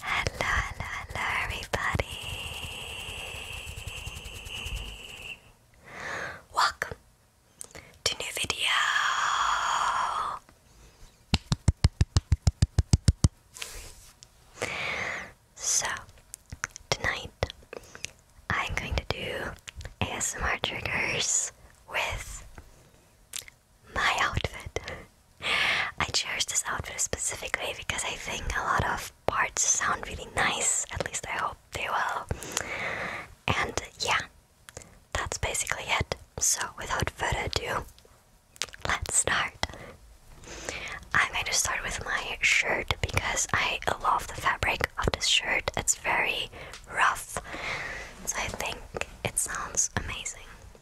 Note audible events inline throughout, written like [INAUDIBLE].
Hello, hello, hello, everybody. Welcome to new video. So, tonight I'm going to do ASMR triggers with my outfit. [LAUGHS] I chose this outfit specifically because I think a lot of parts sound really nice, at least I hope they will. And yeah, that's basically it. So, without further ado, let's start. I'm going to start with my shirt because I love the fabric of this shirt. It's very rough, so I think it sounds amazing.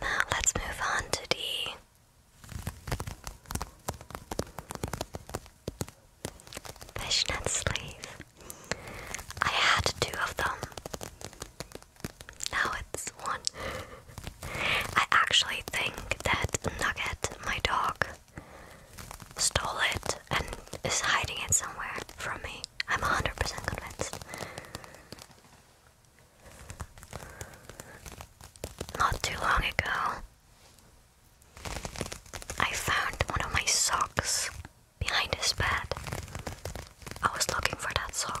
Now let's move on to the Fishnet sleeve. I had two of them. Now it's one. I actually think that Nugget, my dog, stole it and is hiding it somewhere from me. I'm 100% convinced. Not too long ago, I found one of my socks behind his bed. I was looking for that sock.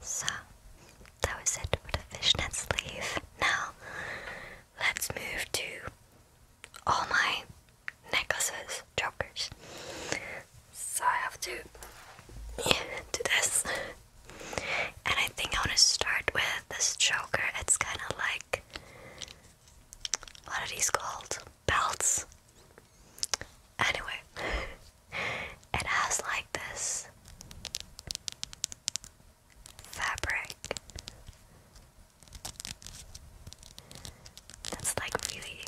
So that was it for the fishnet sleeve. Now let's move to all my necklaces, jokers. So I have to [LAUGHS] do this. And I think I want to start with this choker. It's kind of like what are called? Belts. Anyway, [LAUGHS] it has like this fabric that's like really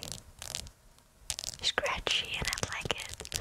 scratchy, and I like it.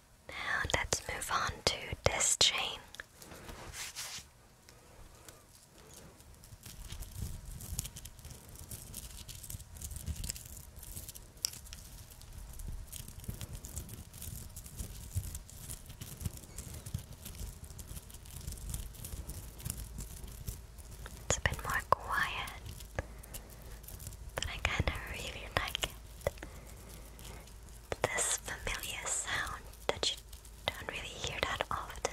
Now let's move on to this chain. It's a bit more quiet, but I kind of really like it this familiar sound that you don't really hear that often.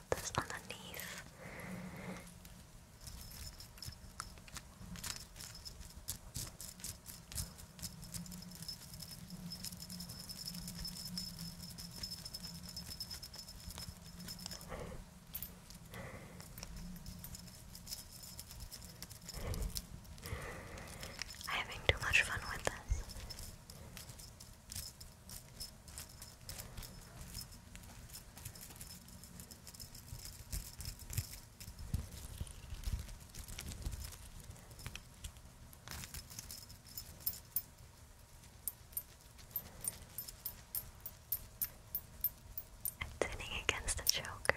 put this underneath. I'm having too much fun with this i against the choker.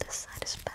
This side is better.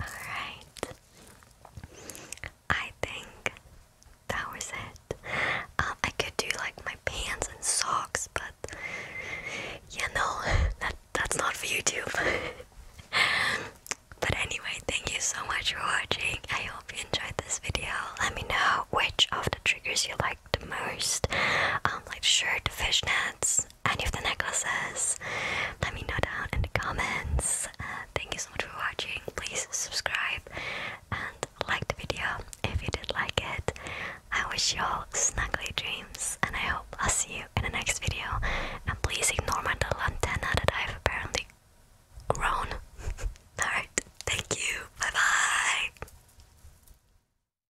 Alright. I think that was it. Uh, I could do like my pants and socks, but yeah, no, [LAUGHS] that that's not for YouTube. [LAUGHS] but anyway, thank you so much for watching. I hope you enjoyed this video. Let me know which of the triggers you liked the most, um, like shirt, fishnets, any of the necklaces, let me know down in the comments. Uh, thank you so much for watching. Please subscribe and like the video if you did like it. I wish you all snuggly dreams, and I hope I'll see you in the next video. And please ignore my little antenna that I've apparently grown. [LAUGHS] Alright, thank you. Bye bye.